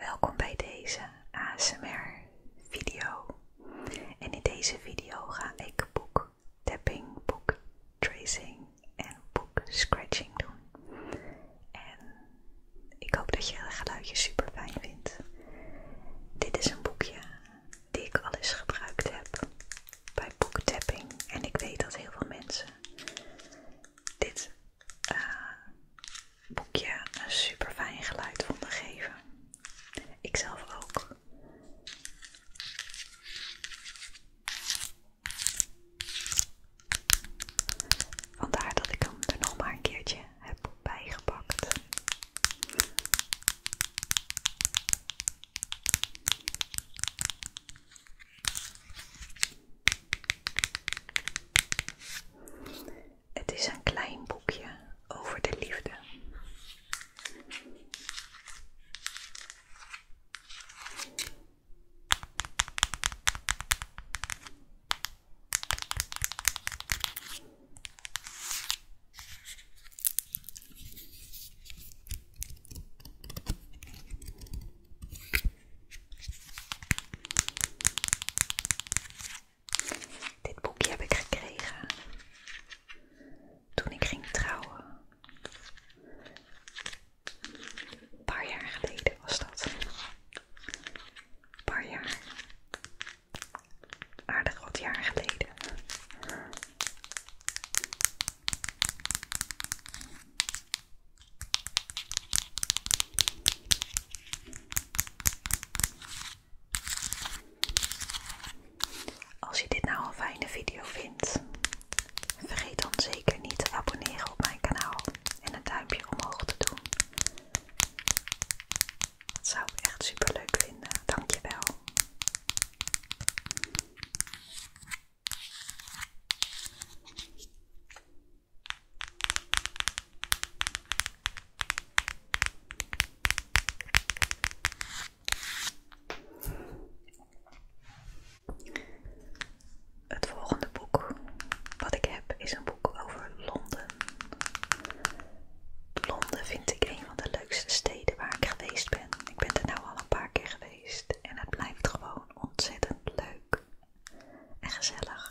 Welkom bij deze ASMR video. En in deze video ga ik boek tapping, boek tracing en boek scratching doen. En ik hoop dat je het geluidje super fijn vindt. Dit is een boekje die ik al eens gebruikt heb bij boektapping. En ik weet dat heel veel mensen dit eh, boekje een super fijn geluid vonden geven. Ikzelf ook. Vandaar dat ik hem er nog maar een keertje heb bijgepakt. Het is een klein boekje over de liefde. Dit boekje heb ik gekregen toen ik ging trouwen. paar jaar geleden was dat. paar jaar. Aardig wat jaar geleden. Als je dit nou een fijne video vindt, vergeet dan zeker niet te abonneren op mijn kanaal en een duimpje omhoog te doen. Dat zou ik echt super leuk vinden. Dankjewel. Het volgende boek wat ik heb is een boek over Londen. Londen vind ik een van de leukste steden waar ik geweest ben. Ik ben er nu al een paar keer geweest en het blijft gewoon ontzettend leuk en gezellig.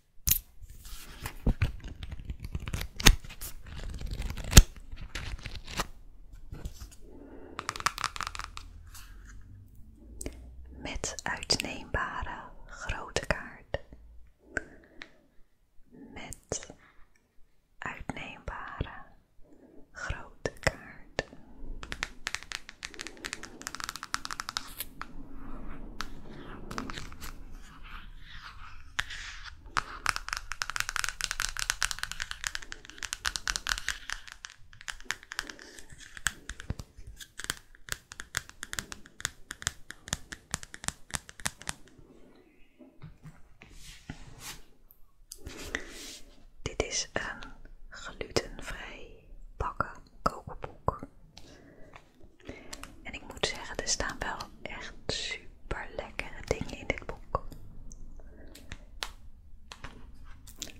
Met uitneembare grote kaart. Met uitneembare grote kaart. Dit is een glutenvrij bakken kookboek en ik moet zeggen, er staan wel echt super lekkere dingen in dit boek.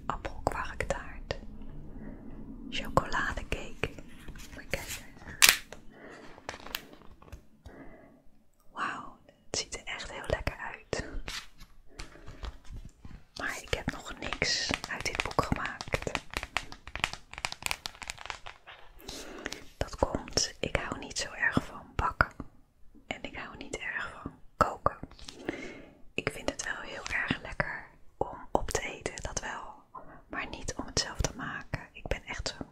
Appelkwarktaart, chocoladecake. Wauw, het ziet er echt heel lekker uit. Maar ik heb nog niks uit dit boek gemaakt. Dat komt, ik hou niet zo erg van bakken. En ik hou niet erg van koken. Ik vind het wel heel erg lekker om op te eten, dat wel. Maar niet om het zelf te maken. Ik ben echt zo'n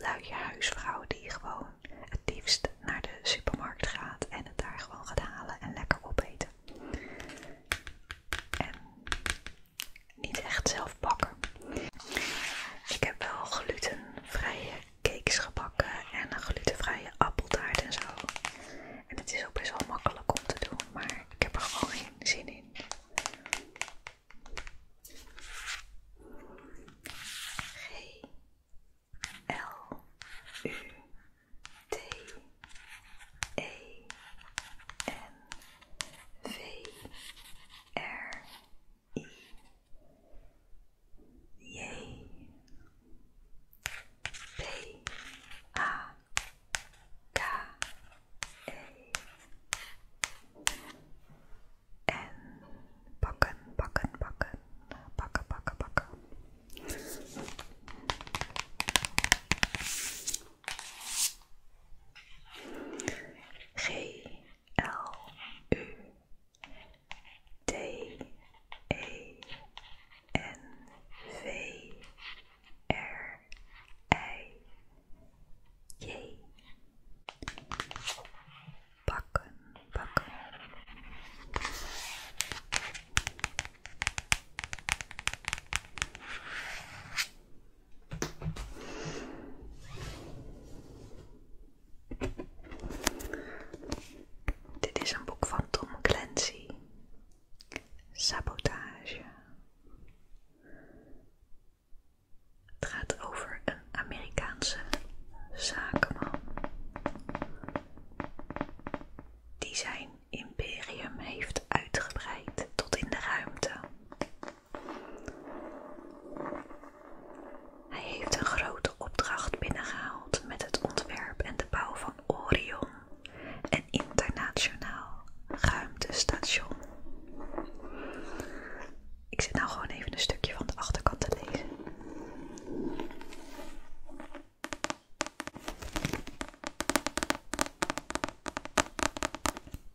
luie huisvrouw die gewoon het liefst naar de supermarkt gaat en het daar gewoon gaat halen en lekker opeten. En niet echt zelf bakken. Ik heb wel glutenvrije cakes gebakken en een glutenvrije appeltaart en zo. En het is ook best wel makkelijk om te doen, maar ik heb er gewoon geen zin in. G L U T E N N V R E. Yay. P A K A. N Bakken, bakken, bakken, bakken, G L U D E N V R I J Bakken, bakken. Dit is een boek van Tom Clancy. Sabotage. Het gaat over een Amerikaanse zakenman die zijn imperium heeft uitgebreid tot in de ruimte. Hij heeft een grote opdracht binnengehaald met het ontwerp en de bouw van Orion, een internationaal ruimtestation. Ik zit nou gewoon even een stukje van de achterkant te lezen.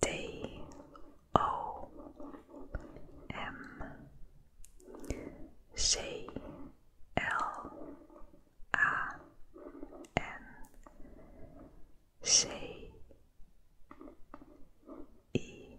D O M C L A N C E,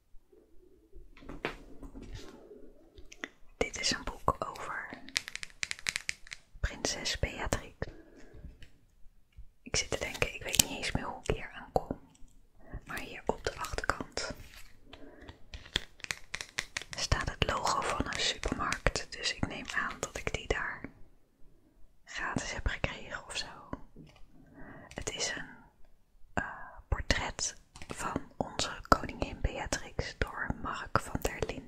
Dit is een boek over prinses Beatrix. Ik zit te denken, ik weet niet eens meer hoe ik hier aan kom. Maar hier op de achterkant staat het logo van een supermarkt. Dus ik neem aan dat ik die daar gratis heb gekregen of zo. Het is een eh, portret van onze koningin Beatrix door Mark van der Linde.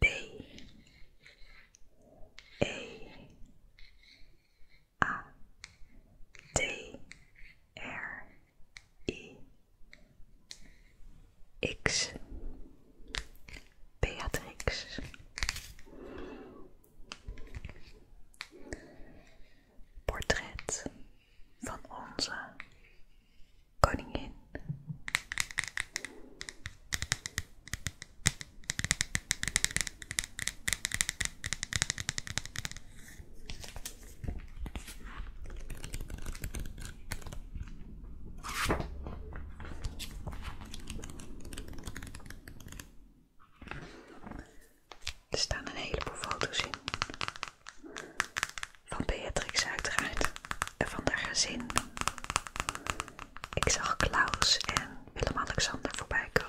D E A D e e R I X Portret van onze koningin. Er staan een heleboel foto's in van Beatrix uiteraard en van haar gezin. Ik zag Klaus en Willem-Alexander voorbij komen.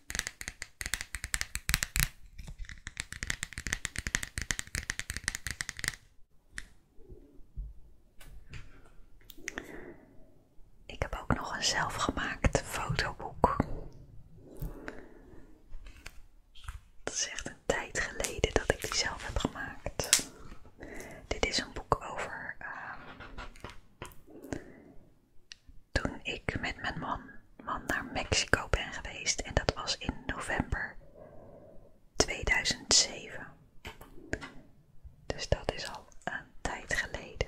Ik heb ook nog een zelfgemaakt fotoboek. Dat is echt een tijd geleden dat ik die zelf heb gemaakt. Dit is een boek over ehm, toen ik met mijn man, man naar Mexico ben geweest en dat was in november 2007. Dus dat is al een tijd geleden.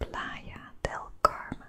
Playa del Carmen.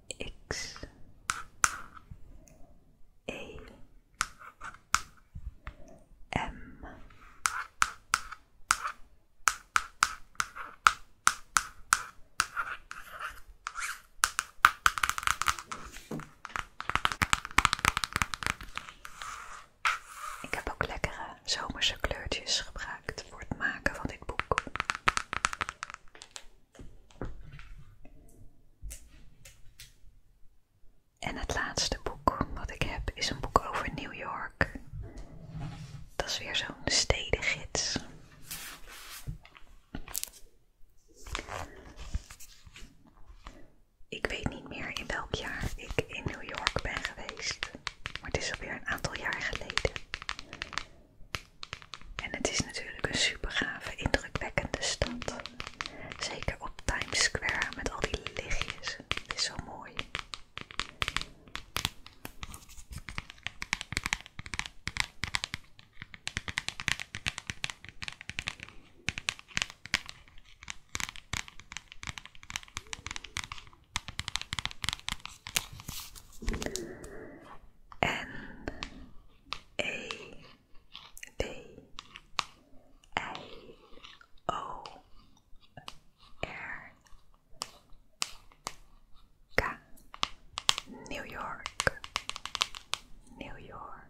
X E M Ik heb ook lekkere zomerse kleurtjes gebruikt voor het maken van dit boek. En het laatste boek wat ik heb is een boek over New York. Dat is weer zo'n stedengids. Ik weet niet meer in welk jaar ik in New York ben geweest, maar het is alweer een aantal jaar geleden. En het is natuurlijk een super gave, indrukwekkende stad. Zeker op Times Square met al die lichtjes. is zo mooi. N A B A O R K New York New York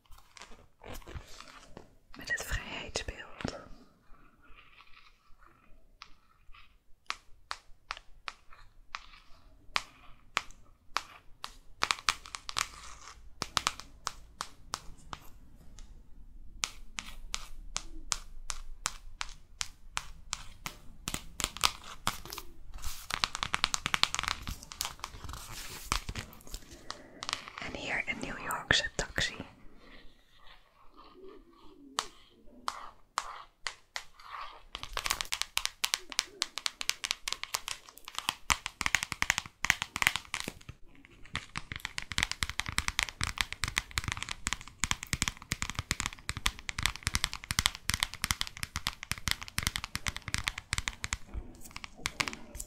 Met het vrijheidsbeeld. and here in New York's a taxi.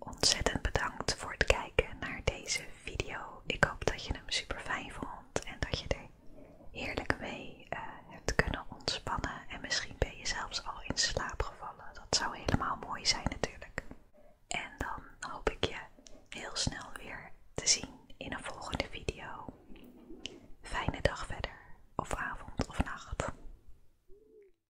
Ontzettend bedankt voor het kijken naar deze video. Ik hoop dat je hem super fijn vond en dat je er heerlijk mee eh, hebt kunnen ontspannen. En misschien ben je zelfs al in slaap gevallen. Dat zou helemaal mooi zijn natuurlijk. En dan hoop ik je heel snel weer te zien in een volgende video. Fijne dag verder, of avond of nacht.